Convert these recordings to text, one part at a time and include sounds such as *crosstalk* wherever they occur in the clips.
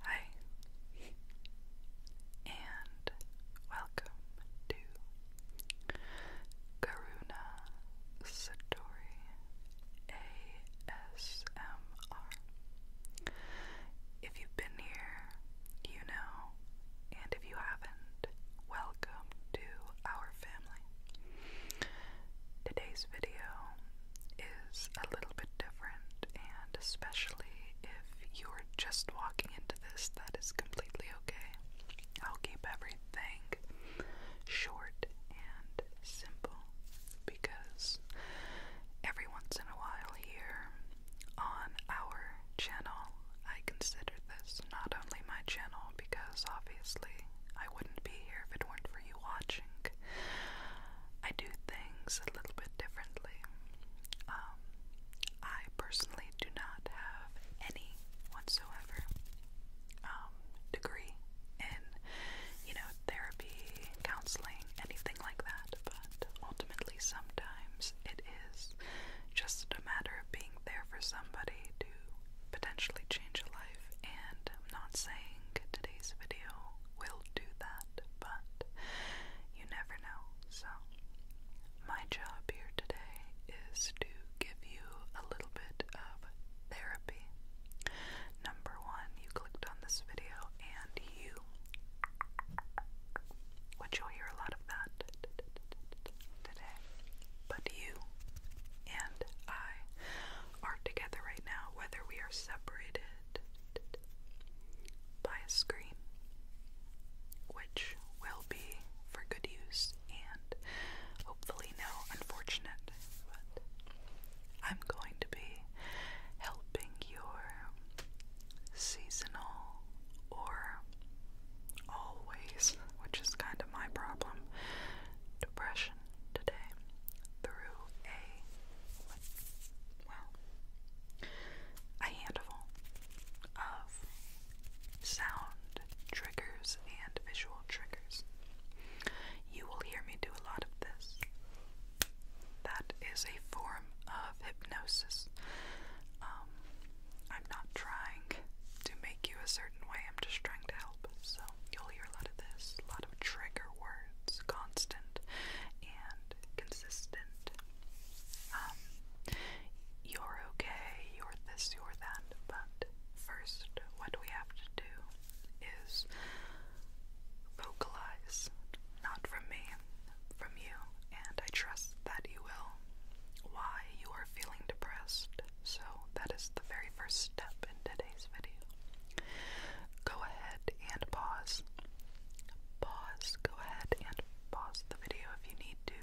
Hi, and welcome to Karuna Satori ASMR. If you've been here, you know, and if you haven't, welcome to our family. Today's video is a little bit different, and especially if you're just walking into this, that is completely okay. I'll keep everything short and simple because every once in a while here on our channel, I consider this not only my channel because obviously I wouldn't be here if it weren't for you watching. I do things a little bit differently. Um, I personally do not have any whatsoever um, degree in, you know, therapy, counseling, anything like that. But ultimately, sometimes it is just a matter of being there for somebody to potentially change a life. And I'm not saying today's video will do that, but you never know. So, my job here today is to give you a little bit of therapy. Number one, you clicked on this video and you, which you'll hear a lot of that today, but you and I are together right now, whether we are separated *laughs* by a screen, which will be for good use and hopefully no unfortunate. I'm going to be helping your seasonal or always, which is kind of my problem, depression today through a well, a handful of sound triggers and visual triggers. You will hear me do a lot of this. That is a form of hypnosis. Um, I'm not trying to make you a certain way, I'm just trying to help. So, you'll hear a lot of this, a lot of trigger words, constant and consistent. Um, you're okay, you're this, you're that, but first, what we have to do is vocalize, not from me, from you, and I trust that you will, why you are feeling depressed. So, that is the very first step in today's video. Go ahead and pause pause, go ahead and pause the video if you need to.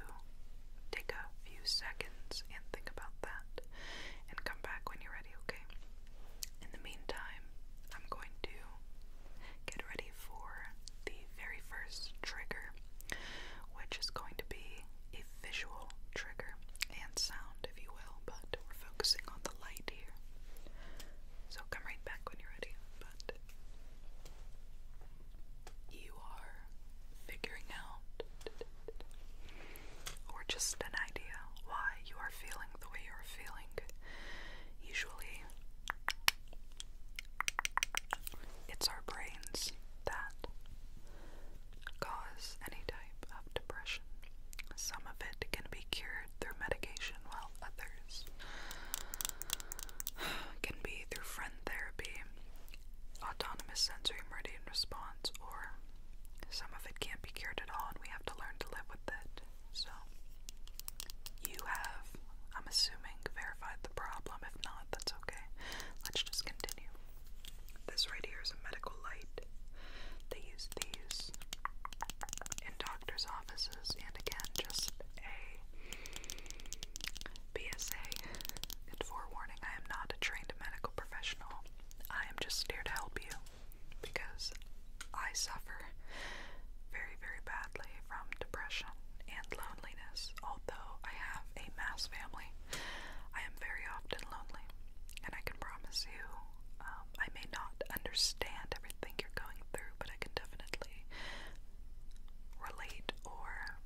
Take a few seconds and think about that and come back when you're ready, okay? In the meantime, I'm going to get ready for the very first trigger, which is going to be a visual trigger and sound, if you will, but we're focusing on the light end here. So come right back when you're ready. But you are figuring out, or just an idea, why you are feeling the way you are feeling. Usually, it's our brains that cause any type of depression. Some of it can be cured through medication, while others *sighs* can be through friend therapy, autonomous sensory meridian response, or some of it can't be cured at all and we have to learn to live with it. So, you have, I'm assuming, verified the problem. If not, that's okay. Let's just continue. This right here is a medical light. They use these in doctor's offices, and again, just a PSA and forewarning I am not a trained medical professional. I am just here to help you because I suffer very, very badly from depression and loneliness. Although I have a mass family, I am very often lonely, and I can promise you um, I may not understand everything you're going through, but I can definitely relate or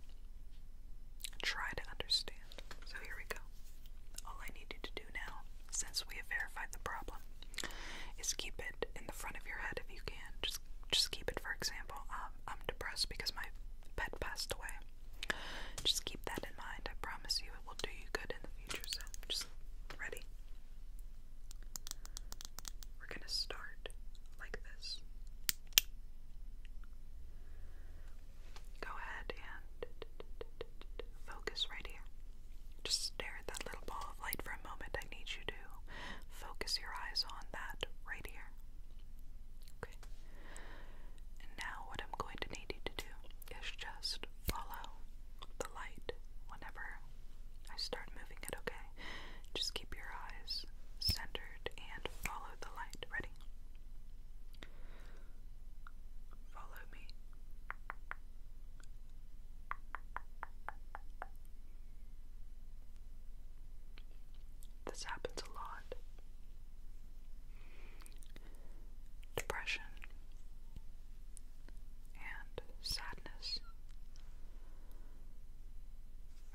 try to understand. So here we go. All I need you to do now, since we have verified the problem, is keep it in the front of your head if you can. Just just keep it, for example, um, I'm depressed because my pet passed away. Just keep that in mind. I promise you it will do you good in the future. So just ready. We're going to start like this. Go ahead and focus right here. Just stare at that little ball of light for a moment. I need you to focus your eyes on that right here. Okay. And now, what I'm going to need you to do is just follow the light whenever I start moving it, okay? Just keep your eyes centered and follow the light. Ready? Follow me. This happens a lot. Depression, and sadness.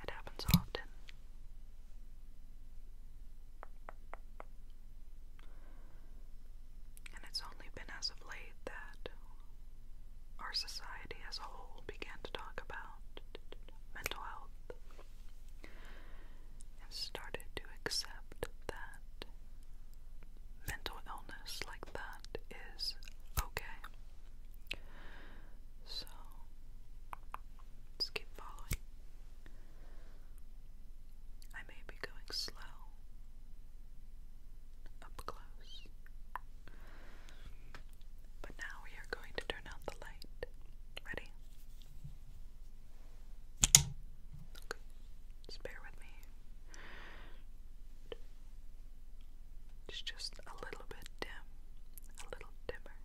It happens often. And it's only been as of late that our society as a whole began to talk about mental health and started to accept that mental illness like that is okay. So just keep following. I may be going slow up close. But now we are going to turn out the light. Ready? Okay, just bear with me. It's just a little bit dim, a little dimmer,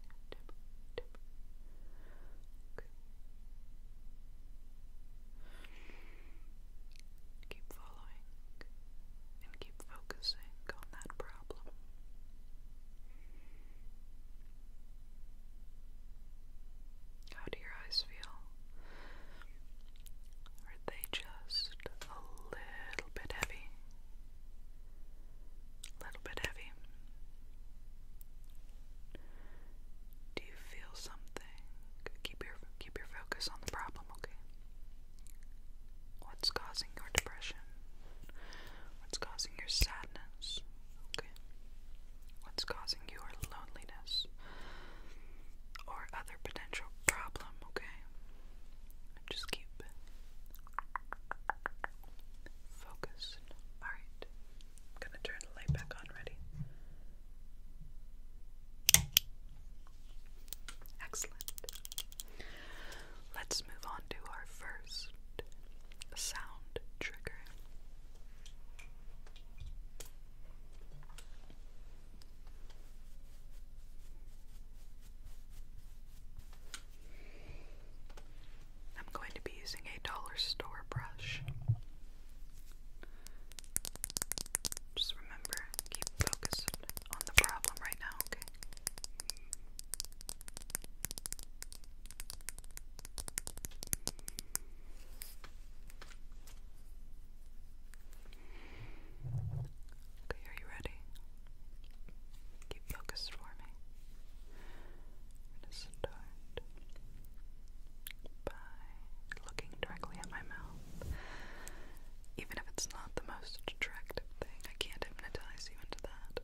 Keep following and keep focusing on that problem. How do your eyes feel? Are they just a little bit heavy? A little bit heavy. Do you feel something? Keep your keep your focus on the problem, okay? What's causing your depression? What's causing your sadness? Okay. What's causing your loneliness? Or other potential problem, okay? Just keep focused. Alright. I'm gonna turn the light back on. Ready? Excellent. Let's move on to our first sound trigger. I'm going to be using a dollar store brush. Just remember, keep focused on the problem right now, okay? Okay, are you ready? Keep focused for me. i by looking directly at my mouth. Even if it's not the most attractive thing, I can hypnotize you into that,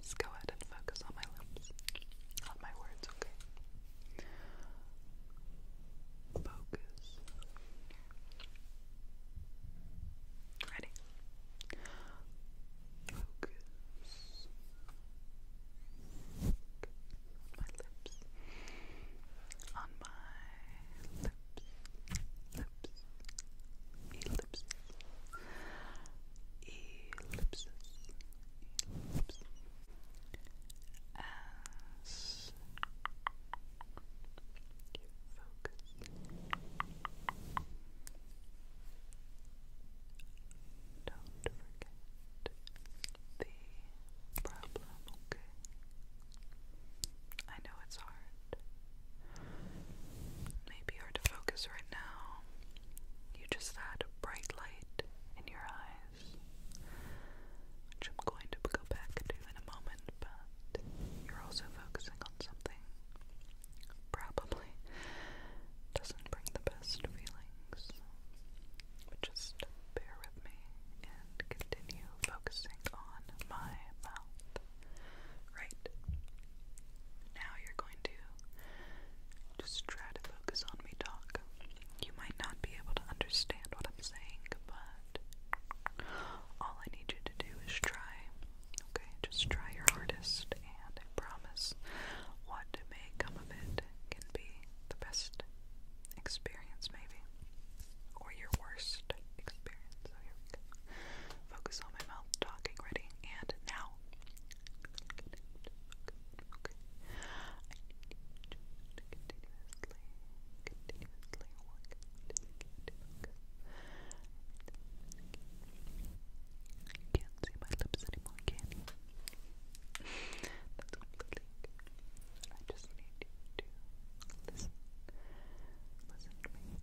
just go ahead and focus on my lips, on my words, okay? Focus Ready? Focus. My lips. On my lips. Lips. Ellipses. Ellipses. Ellipses. As focus. Don't forget the problem, okay? I know it's hard. Maybe hard to focus right now. You just had bright light in your eyes, which I'm going to go back to in a moment, but you're also focusing on something probably doesn't bring the best feelings. just bear with me and continue focusing on my mouth. Right. Now you're going to just try to focus on me talk. You might not be able to understand what I'm saying, but all I need you to do is try. Okay, just try your hardest, and I promise what may come of it can be the best experience, maybe, or your worst experience. So Focus on my mouth talking, ready, and now can I can't see my lips anymore, can you? That's what i just need you to listen. Listen to me focus.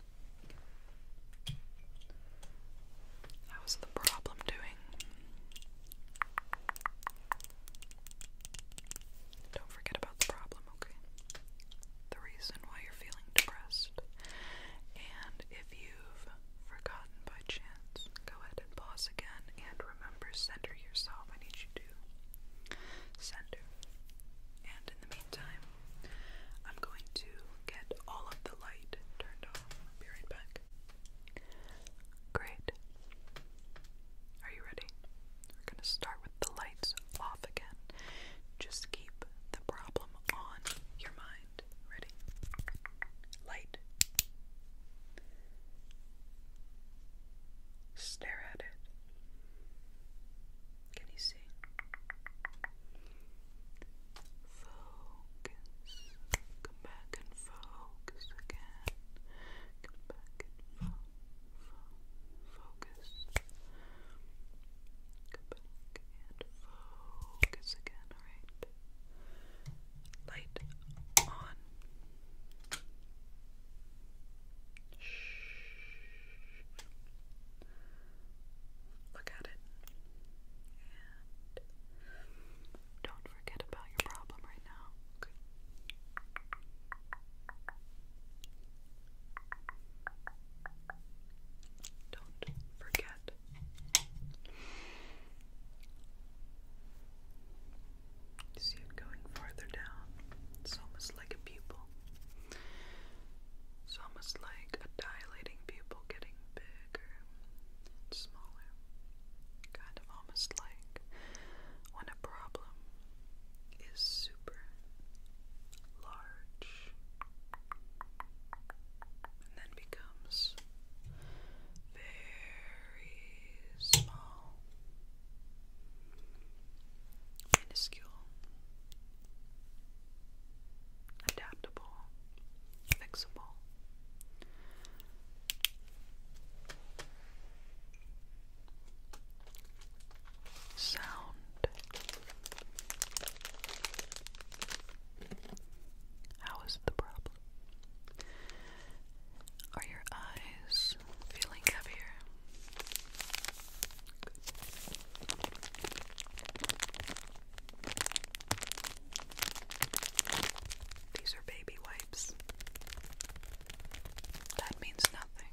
How's the problem doing? Don't forget about the problem, okay? The reason why you're feeling depressed. And if you've forgotten by chance, go ahead and pause again and remember center yourself. I need you to center. And in the meantime, I'm going to get all of the light turned off. be right back. Great. Are you ready? We're going to start with the lights off again. Just keep the problem on your mind. Ready? Light. Stare at it. Can you see? Focus. Come back and focus again. Come back and fo focus. Come back and focus again. Alright. Light on. Shh. Look at it don't forget about your problem right now. Don't forget. see it going farther down. It's almost like a pupil. It's almost like a dilating pupil getting bigger and smaller. Kind of almost like when a problem is super large and then becomes very small, minuscule adaptable, fixable. Sound How is the problem? Are your eyes feeling heavier? These are baby wipes. That means nothing.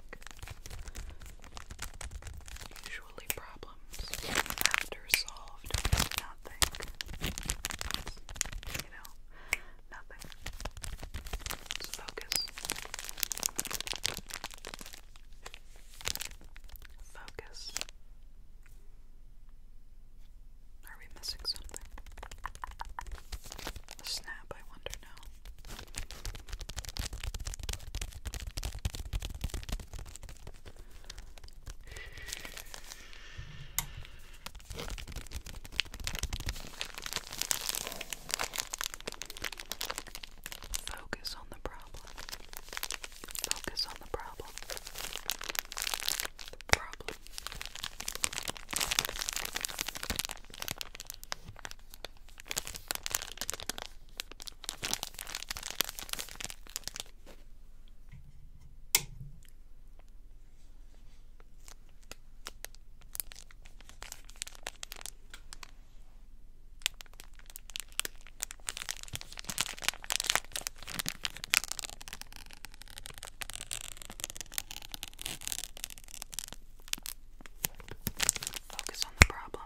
Usually, problems after solved means nothing. You know, nothing. focus. Focus. Are we missing something? snap, I wonder now. Focus on the problem. Focus on the problem. The problem. Focus on the problem.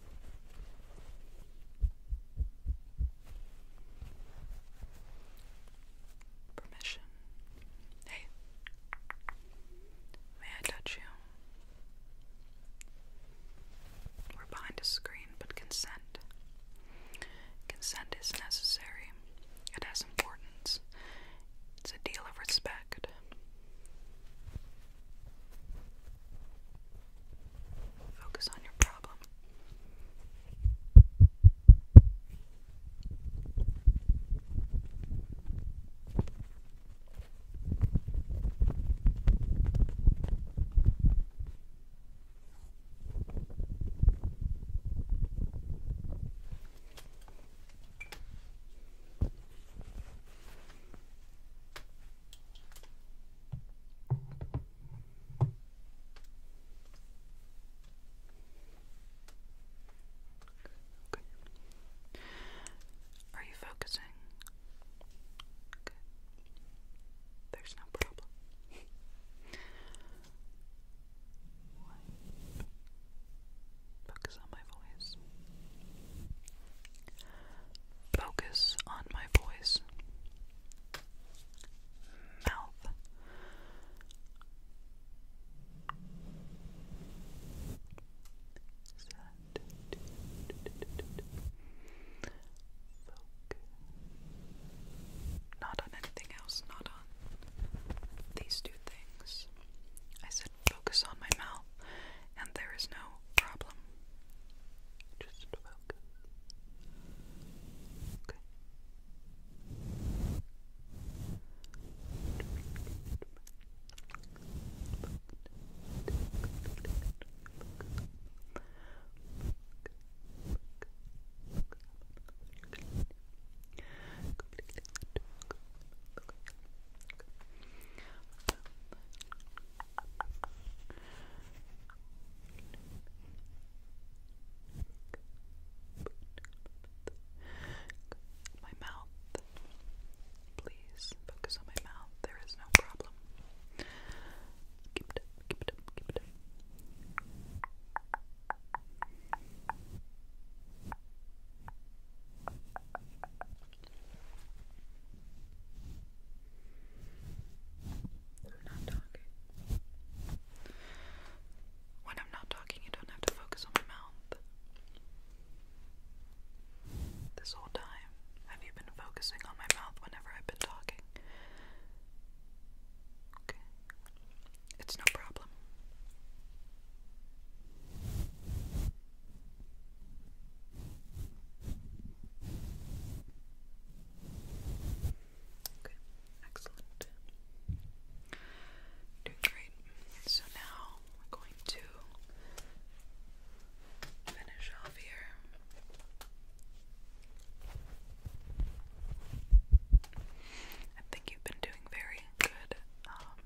Permission. Hey, may I touch you? We're behind a screen, but consent. Consent is necessary, it has importance, it's a deal of respect. Focus on your problem. Okay. Are you focusing? There's no problem. Focus on my voice. Focus on my voice. Mouth. Set. Focus. Not on anything else, not on these two things. I said focus on my mouth and there is no problem. Just focus. Okay. My mouth. Please focus on my mouth. There is no problem. I'm not talking. When I'm not talking, you don't have to focus on my mouth. This whole time, have you been focusing on my mouth whenever I've been talking? Okay. It's no problem. Okay, excellent. Doing great. So now we're going to finish off here. I think you've been doing very good. Um,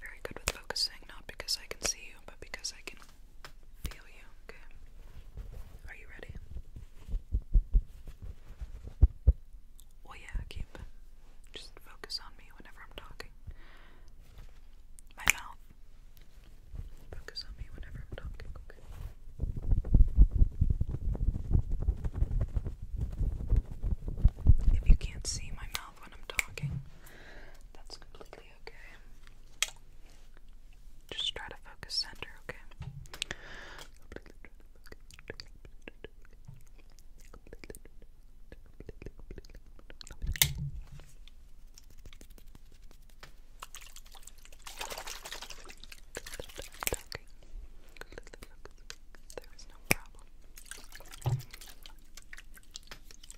very good with focusing, not because I can see you, but because I can feel you, okay? Are you ready? Well, yeah, keep. Just focus on me whenever I'm talking. My mouth. Focus on me whenever I'm talking, okay? If you can't see my mouth when I'm talking, that's completely okay? Just try to focus center, okay?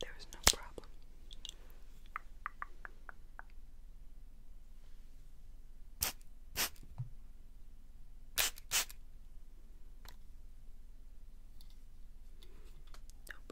There was no problem.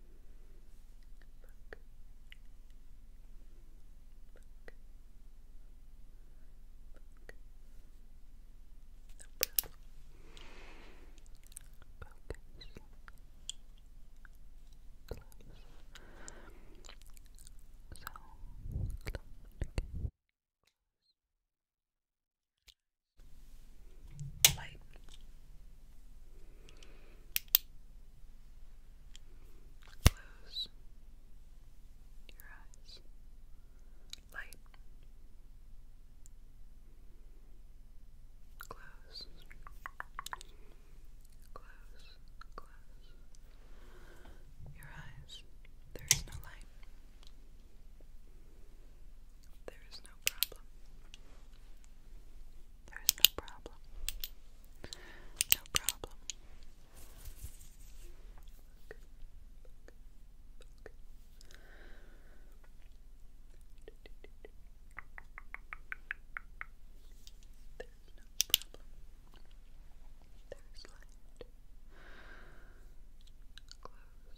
book, book, book. No problem. Focus. Close. So, close again. Light. Close your eyes. Light. Close. Close. Close. Your eyes. There is no light. There is no problem. There's no problem. No problem. There's no problem. There's light. Close.